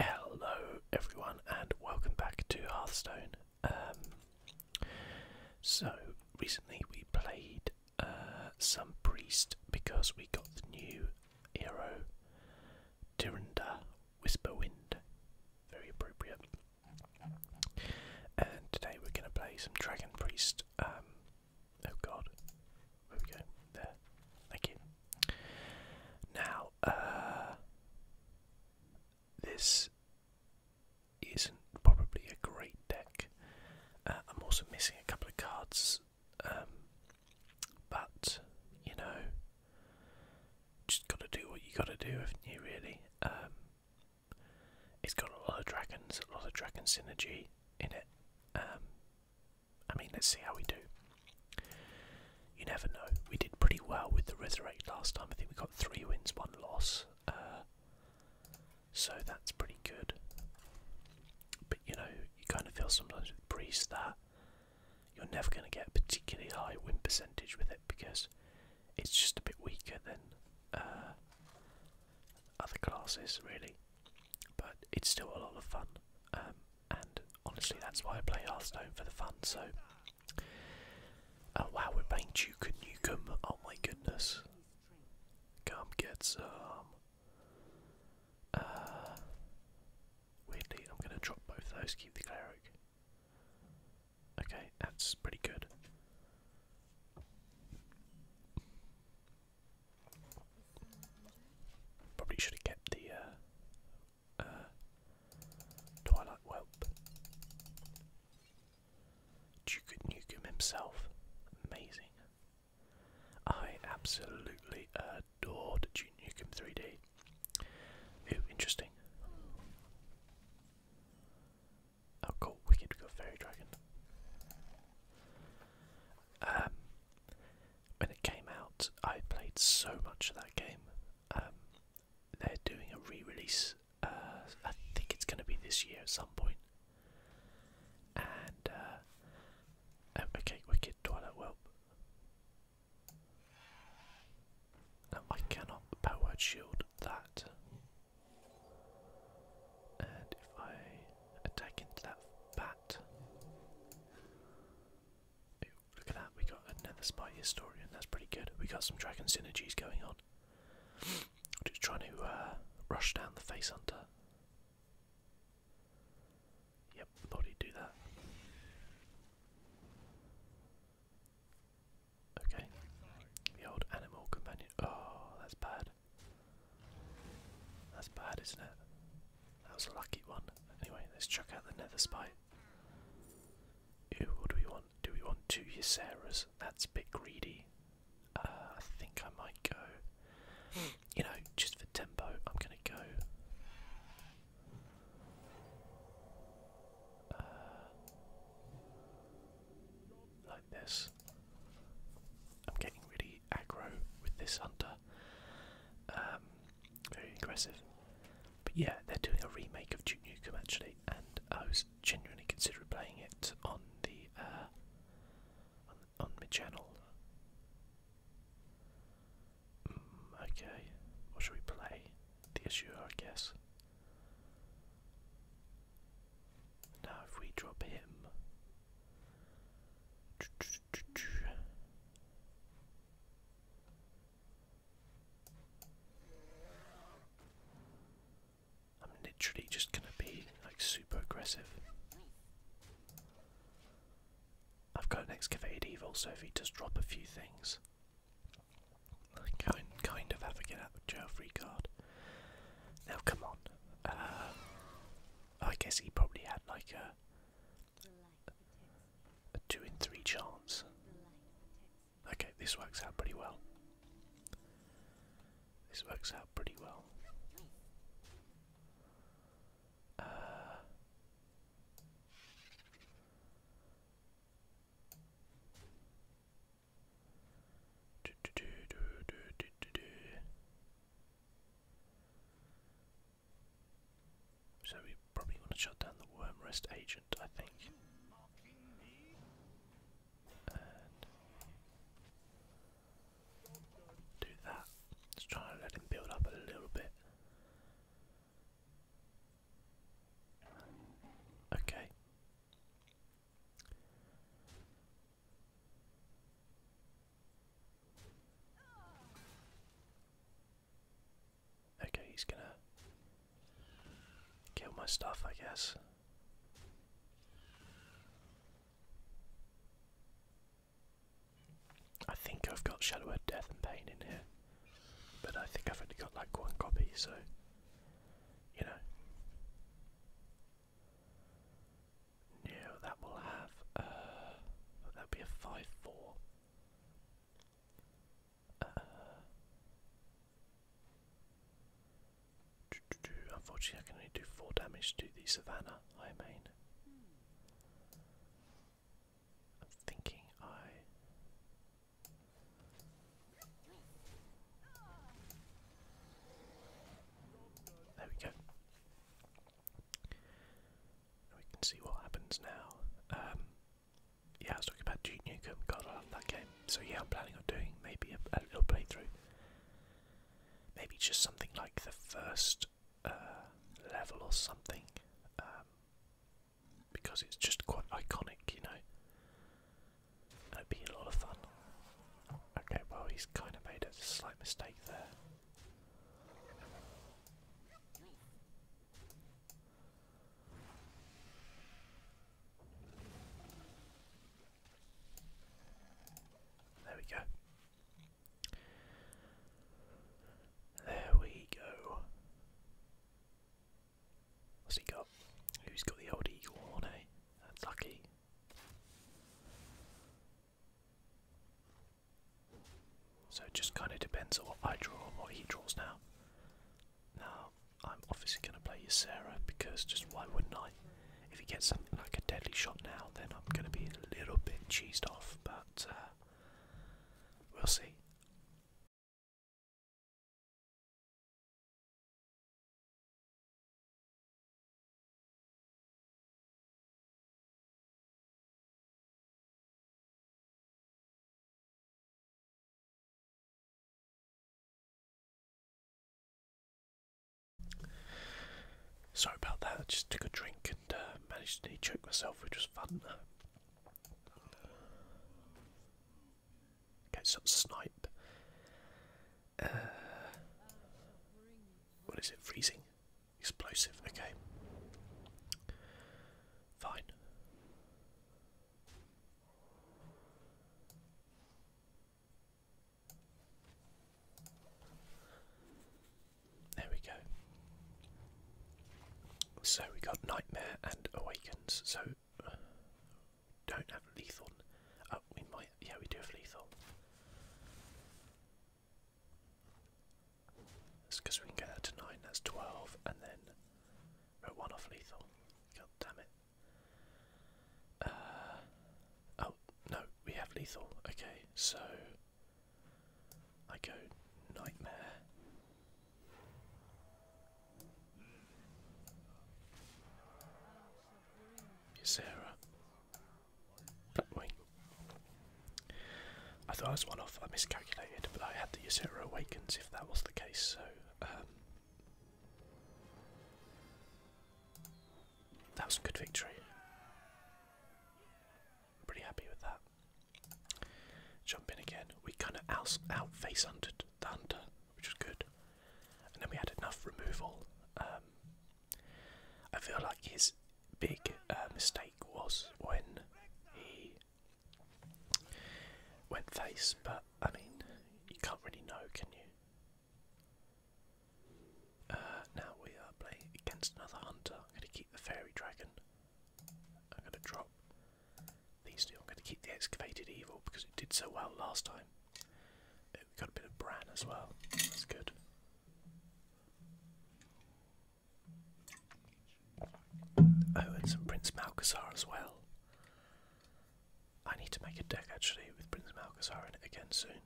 Hello everyone and welcome back to Hearthstone. Um, so recently we played uh, some priest because we got the new hero Tirinda Whisperwind. Very appropriate. And today we're going to play some dragon priest. Um, oh god. There we go. Now, uh, this isn't probably a great deck. Uh, I'm also missing a couple of cards, um, but you know, just gotta do what you gotta do, haven't you? Really. Um, it's got a lot of dragons, a lot of dragon synergy in it. Um, I mean, let's see how we do. You never know. We did pretty well with the Resurrect last time. I think we got three wins, one loss. Uh, so that's pretty good. But you know, you kind of feel sometimes with Priest that you're never going to get a particularly high win percentage with it because it's just a bit weaker than uh, other classes, really. But it's still a lot of fun. Um, and honestly, that's why I play Hearthstone for the fun. So, oh wow, we're playing Duke Nukem. Oh my goodness, come get some. Uh, weirdly, I'm gonna drop both those. Keep the cleric. Okay, that's pretty good. Probably should have the uh, uh, Twilight Whelp. Duke Nukem himself. Amazing. I absolutely adored Duke Nukem 3D. Ooh, interesting. Oh cool, wicked, we got Fairy Dragon. Um, when it came out, I played so much of that game. Um, they're doing a re-release. Uh, I think it's going to be this year at some point. And uh, oh, okay, wicked Twilight Whelp. I cannot power shield that. And if I attack into that bat, Ooh, look at that, we got another spy historian, that's pretty good. We got some dragon synergies going on. Just trying to uh, rush down the face hunter. Yep, thought he'd do that. Okay, the old animal companion. Oh, that's bad. That's bad, isn't it? That was a lucky one. Anyway, let's chuck out the nether spite. Ooh, do we want? Do we want two Yseras? That's a bit greedy. Uh, I think I might go. You know, just for tempo, I'm gonna go. Uh, like this. I'm getting really aggro with this hunter. Um, very aggressive. But yeah, they're doing a remake of Duke Nukem actually, and I was genuinely considering playing it on the uh, on, my channel. Mm, okay, what should we play? The Azure, I guess. Now, if we drop him. I'm literally just gonna be like super aggressive. I've got an evil, so if he does drop a few things, I can kind of have a get out of jail free card. Now come on. Uh, I guess he probably had like a a two in three chance. Okay, this works out pretty well. This works out pretty well. Uh, so we probably want to shut down the worm rest agent, I think. And do that. let try and let him build up a little bit. Okay. Okay, he's gonna kill my stuff, I guess. I think I've got Shadow of Death and Pain in here, but I think I've only got like one copy, so you know. No, that will have uh, that'll be a five four. Uh, unfortunately, I can only do four damage to the Savannah I main. I'm thinking I. There we go. We can see what happens now. Um, yeah, I was talking about Duke Nukem. God, I love that game. So yeah, I'm planning on doing maybe a, little playthrough. Maybe just something like the first uh, level or something, um, because it's just quite iconic, you know. That'd be a lot of fun. Okay, well he's kind of made a slight mistake there. There we go. There we go. What's he got? Who's got the old eagle eh? That's lucky. So it just kind of depends on what I draw or what he draws now. Now, I'm obviously going to play you, Sarah, because just why wouldn't I? If he gets something like a deadly shot now, then I'm going to be a little bit cheesed off, but uh, we'll see. Sorry about that, I just took a drink and uh, managed to choke myself, which was fun. Okay, some snipe. Uh, what is it? Freezing? Explosive, okay. Fine. There we go. So we got Nightmare and Awakens. So uh, don't have lethal. Oh, we might. Yeah, we do have lethal because we can get that to 9, that's 12, and then we 1 off lethal. God damn it. Uh, oh, no, we have lethal. Okay, so I go nightmare. Ysera. Blackwing. I thought I was one off. I miscalculated, but I had the Ysera Awakens if that was the case, so. Um, that was a good victory. I'm pretty happy with that. Jump in again. We kind of out face hunted the hunter, which is good. And then we had enough removal. Um, I feel like his big uh, mistake was when he went face, but I mean, you can't really know, can you? Uh, now we are playing against another hunter. I'm going to keep the fairy dragon. I'm going to drop these two. I'm going to keep the excavated evil because it did so well last time. Uh, we got a bit of bran as well. That's good. Oh, and Prince Malcazar as well. I need to make a deck actually with Prince Malcazar in it again soon.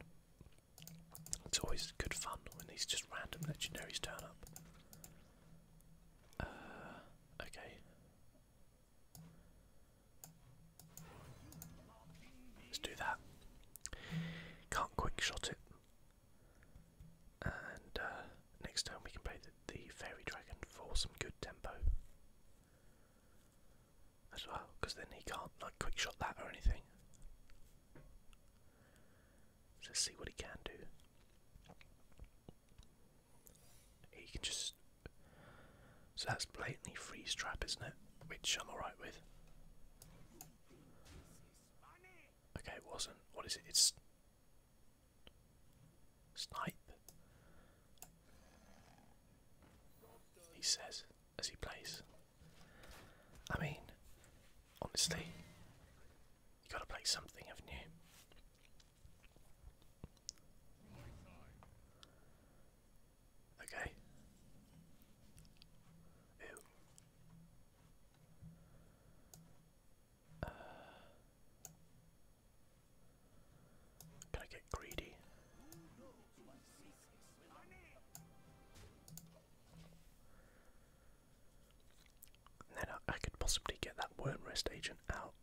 It's always good fun when these just random legendaries turn up. Uh, okay. Let's do that. Can't quick it. And uh, next time we can play the, Fairy Dragon for some good tempo as well, because then he can't like quick shot that or anything. let's see what he can do. He can just. So that's blatantly freeze trap, isn't it? Which I'm alright with. Okay, it wasn't. What is it? It's Snipe. He says as he plays. I mean, honestly, you gotta play something, of new. Okay. Uh, can I get greedy? then I, could possibly get that worm rest agent out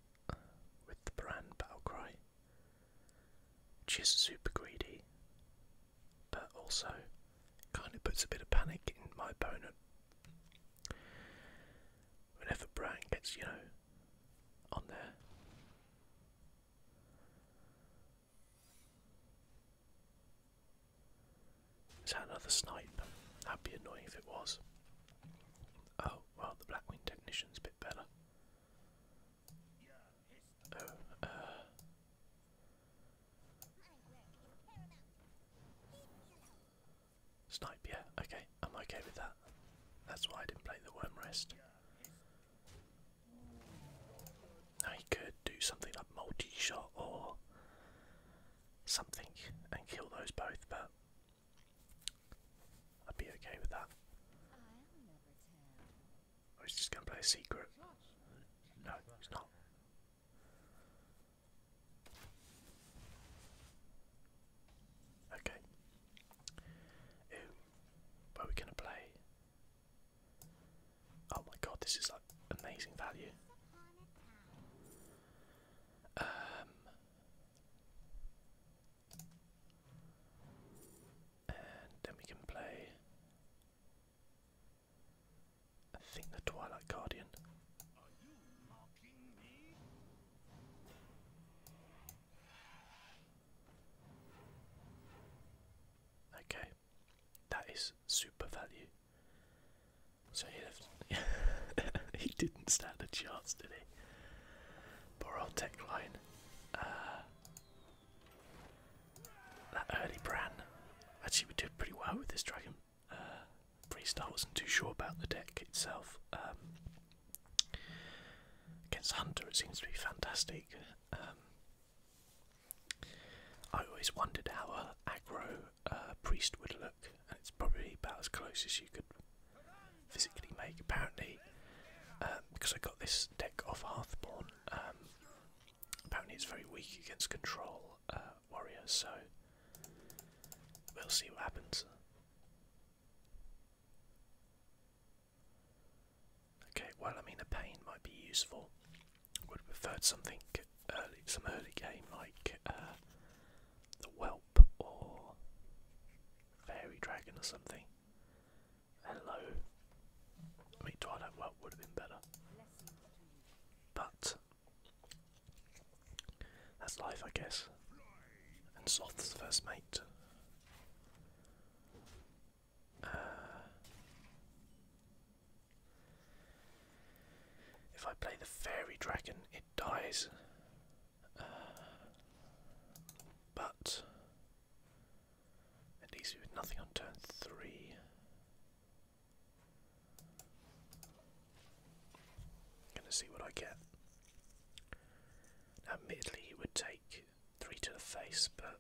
with the brand battle which is super greedy, but also kind of puts a bit of panic in my opponent Whenever Brian gets, you know, on there. Is that another snipe? That'd be annoying if it was. Oh, well, the Blackwing technician's a bit better. Oh, uh. Snipe, yeah, okay, I'm okay with that. That's why I didn't play the worm rest. Now he could do something like multi shot or something and kill those both, but I'd be okay with that. I oh, was just gonna play a secret. No, he's not. Okay. Where we gonna play? Oh my god, this is like amazing value. Um and then we can play I think the Twilight Guardian. Okay, that is super value. So he didn't stand a chance, did he? Poor old tech uh, that early Bran. Actually, we did pretty well with this dragon uh, priest. I wasn't too sure about the deck itself. Um, against Hunter, it seems to be fantastic. Um, I always wondered how a aggro uh, priest would look, and it's probably about as close as you could physically make. Apparently, um, because I got this deck off Hearthborn, apparently it's very weak against control uh, warriors, so We'll see what happens. Okay, well, I mean, a pain might be useful. Would have preferred something early, some early game like uh, the Whelp or Fairy Dragon or something. Hello. I mean, Twilight Whelp would have been better. But that's life, I guess. And Soth's first mate. Uh, if I play the fairy dragon, it dies. Uh, but it least we with nothing on turn three. Gonna see what I get. admittedly, he would take three to the face, but.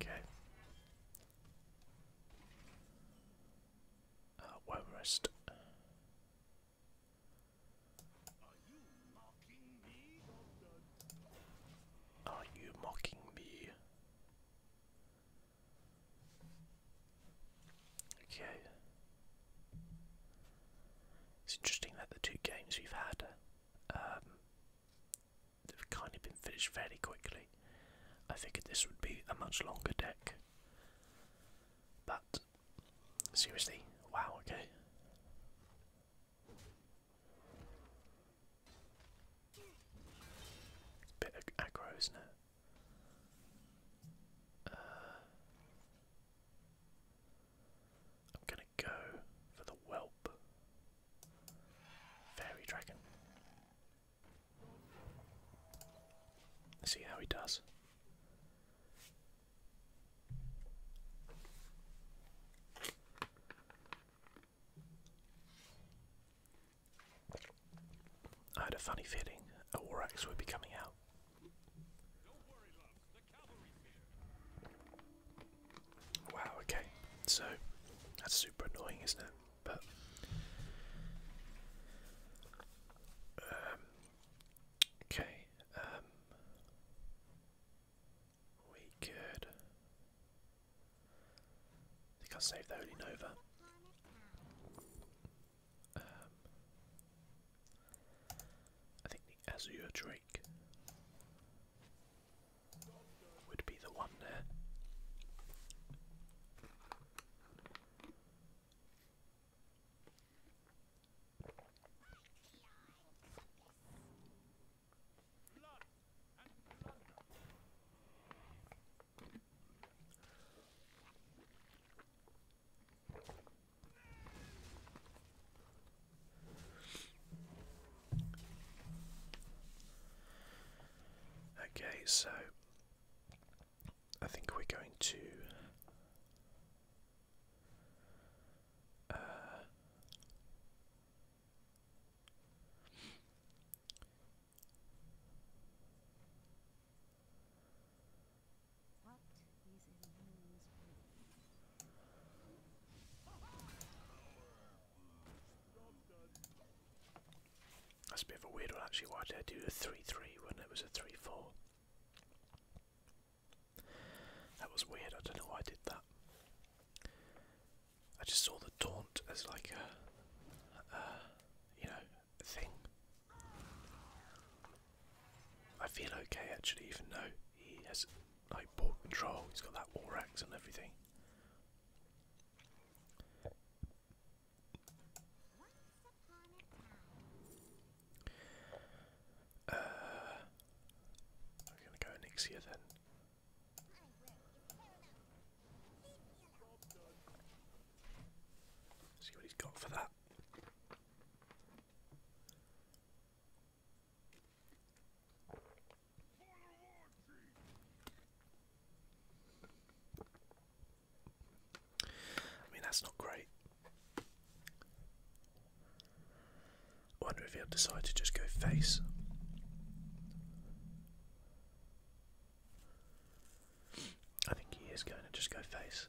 Okay. Uh, are you mocking me? Okay. It's interesting that the two games we've had, um, they've kind of been finished very quickly. I figured this would be a much longer deck. But, seriously, wow, okay bit ag aggro, is uh, I'm gonna go for the whelp. Fairy dragon. Let's see how he does. I had a funny feeling a war would be coming out. wow, okay, so that's super annoying, isn't it? But um, okay, um, we could. I think i saved the Holy Nova. Um, I think the Azure Drake would be the one there. Okay, so I think we're going to uh, that's a bit of a weird one actually. Why did I do a 3 3 when it was a 3 4? That was weird, I don't know why I did that. I just saw the taunt as like a, you know, thing. I feel okay actually, even though he has like ball control, he's got that war axe and everything. Uh, I'm gonna go Nixia then. See what he's got for that. I mean, that's not great. I wonder if he'll decide to just go face. I think he is going to just go face.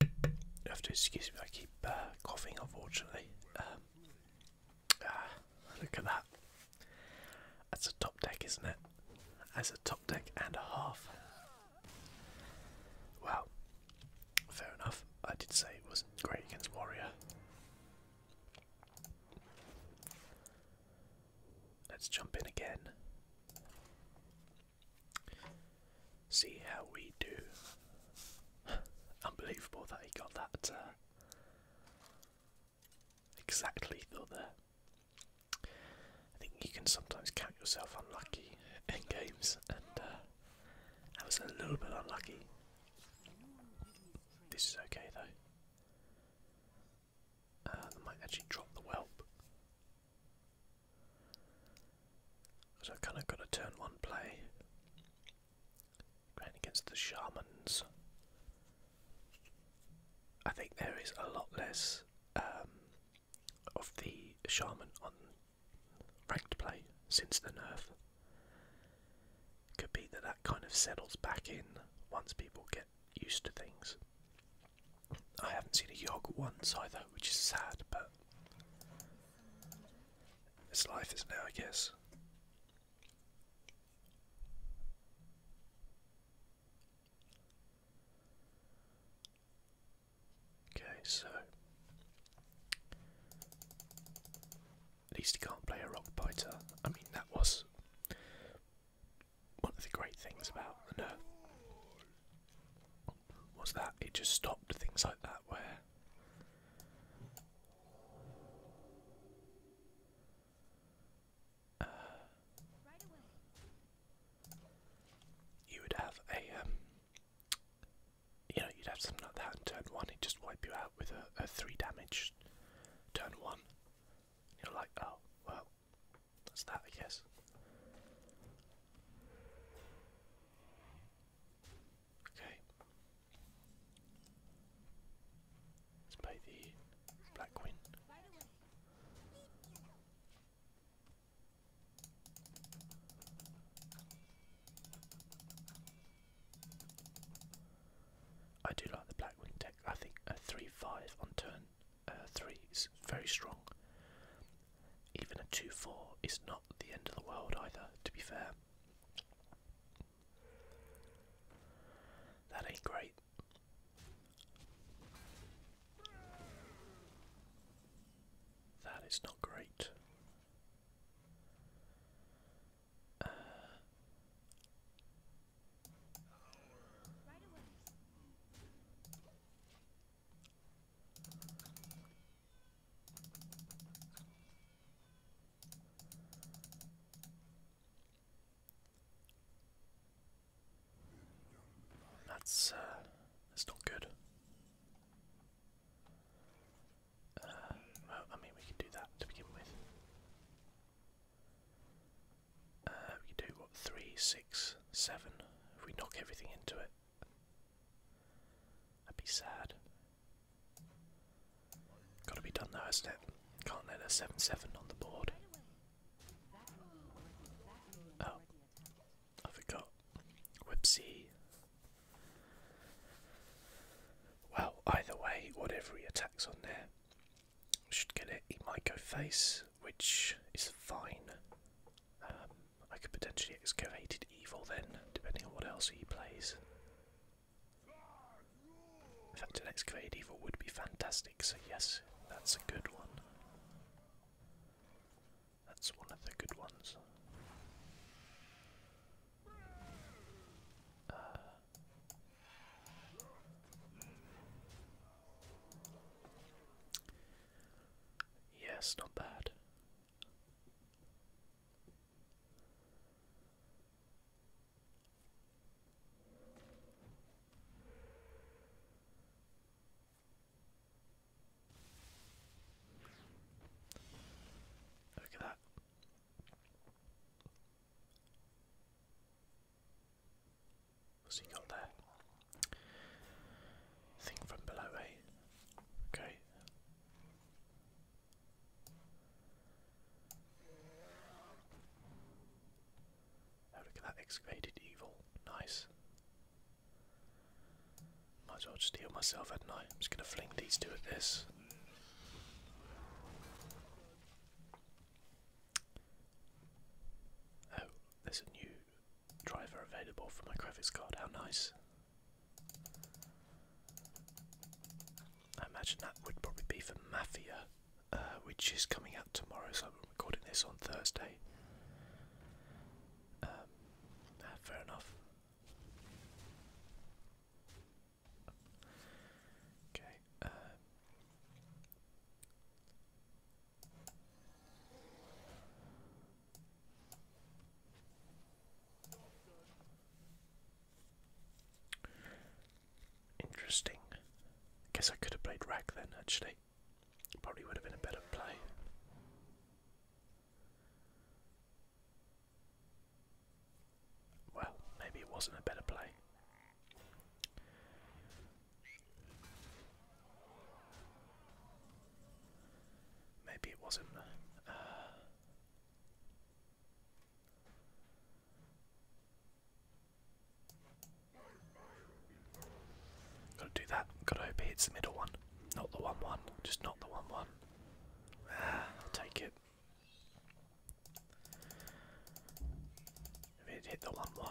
You have to excuse me, I keep uh, coughing unfortunately. Um, ah, look at that. That's a top deck, isn't it? That's a top deck and a half. Wow, fair enough. I did say it wasn't great against Warrior. Let's jump in again see how we do. Unbelievable that he got that uh, exactly though there. I think you can sometimes count yourself unlucky in games, and uh, I was a little bit unlucky. This is okay though. Uh, might actually drop the whelp. Because i kind of got to turn one play Going against the shamans. I think there is a lot less um, of the shaman on ranked play since the nerf. Could be that that kind of settles back in once people get used to things. I haven't seen a Yogg once either, which is sad, but this life, is now, I guess. Okay, so at least he can't play a rock biter. I mean that was one of the great things about the nerf was that it just stopped things like that where you would have a, um, you know, you'd have something like that in turn one. It'd just wipe you out with a, a three damage turn one. You're like, oh, well, that's that, I guess. Okay. Let's play the Black I do like the Black Queen deck. I think a 3 5 on turn uh, 3 is very strong. Even a 2 4 is not the end of the world either, to be fair. That ain't great. That is not great. That's uh that's not good. Uh, I mean we can do that to begin with. Uh, we do what three, six, seven if we knock everything into it. That'd be sad. Gotta be done though, hasn't it? Can't let a 7-7 on the board. Oh. I forgot. Whoopsie. Well, either way, whatever he attacks on there, should get it. He might go face, which is fine. Um, I could potentially excavate it evil then, depending on what else he plays. In fact, an excavate evil would be fantastic, so yes, that's a good one. That's one of the good ones. Uh, yes, not bad. Look at that. What's he got there? Thing from below, eh? Okay look at that excavated evil. Nice. Might as well just myself, hadn't I'm just going to fling these two at this. Oh, there's a new driver available for my graphics card. How nice. I imagine that would probably be for Mafia, uh, which is coming out tomorrow, so I'm recording this on Thursday. Um, ah, fair enough. Okay. Um, Interesting. Guess I could have played Rack then, actually. Probably would have been a better play. Well, maybe it wasn't a better play. Maybe it wasn't. Uh, Gotta do that. Gotta hope it hits the middle one. Not the 1 1. Just not the 1 1. Ah, take it. If it hit the 1 1,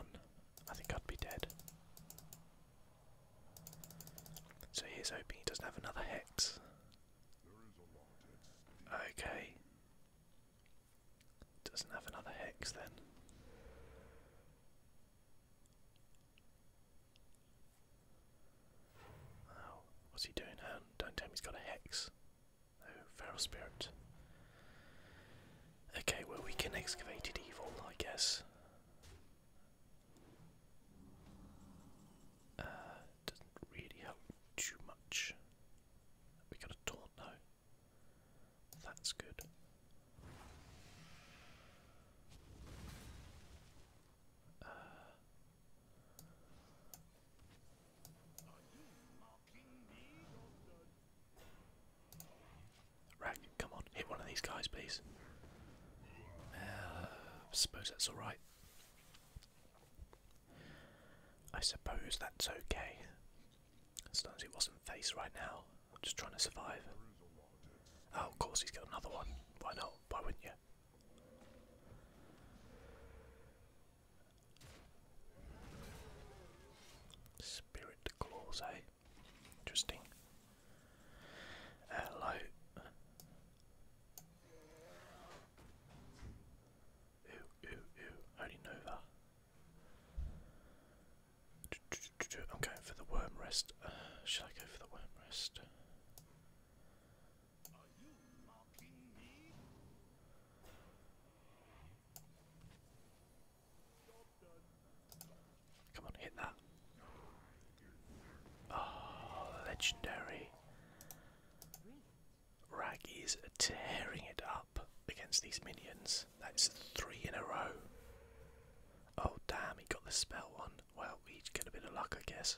I think I'd be dead. So here's hoping he doesn't have another hex. Okay. Doesn't have another hex then. Oh, what's he doing? Um, don't tell me he's got a hex. Oh, feral spirit. Okay, well we can excavate it evil, I guess. Uh, doesn't really help too much. We got a taunt now. That's good. Uh, come on, hit one of these guys, please. I uh, suppose that's alright. I suppose that's okay. As long as it wasn't face right now. I'm just trying to survive. Oh, of course he's got another one. Why not? Why wouldn't you? Spirit claws, eh? Interesting. Hello. Ooh, ooh, ooh, I already I'm going for the worm rest. Uh, I go for the worm rest? Come on, hit that. Oh, legendary. Rag is tearing it up against these minions. That's three in a row. Oh damn, he got the spell one. Well, we get a bit of luck, I guess.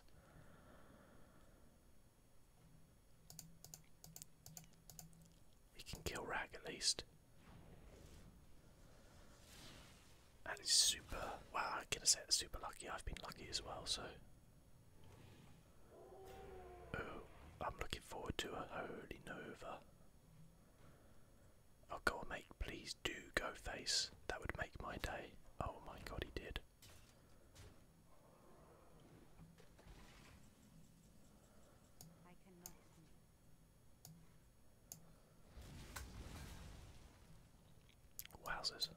He can kill Rag at least. That is super. well, I can say super lucky. I've been lucky as well, so Oh, I'm looking forward to a holy nova. Oh, go mate. Please do go face. That would make my day. Oh my god, he did. Wowzers.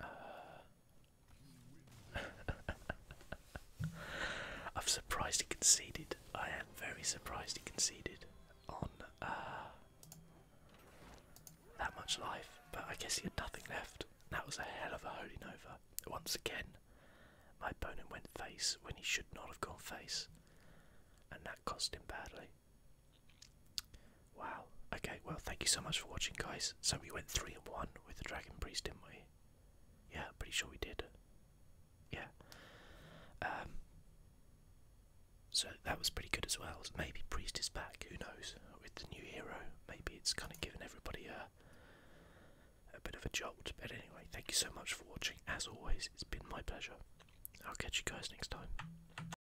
Uh, i have surprisingly conceded. I am very surprised he conceded on uh, that much life, but I guess he had nothing left. That was a hell of a holding over. Once again, my opponent went face when he should not have gone face, and that cost him badly. Wow. Okay, well, thank you so much for watching, guys. So we went 3 and 1 with the Dragon Priest, didn't we? Yeah, pretty sure we did. Yeah. Um, so that was pretty good as well. Maybe Priest is back, who knows? With the new hero, maybe it's kind of given everybody a. A bit of a jolt, but anyway, thank you so much for watching. As always, it's been my pleasure. I'll catch you guys next time.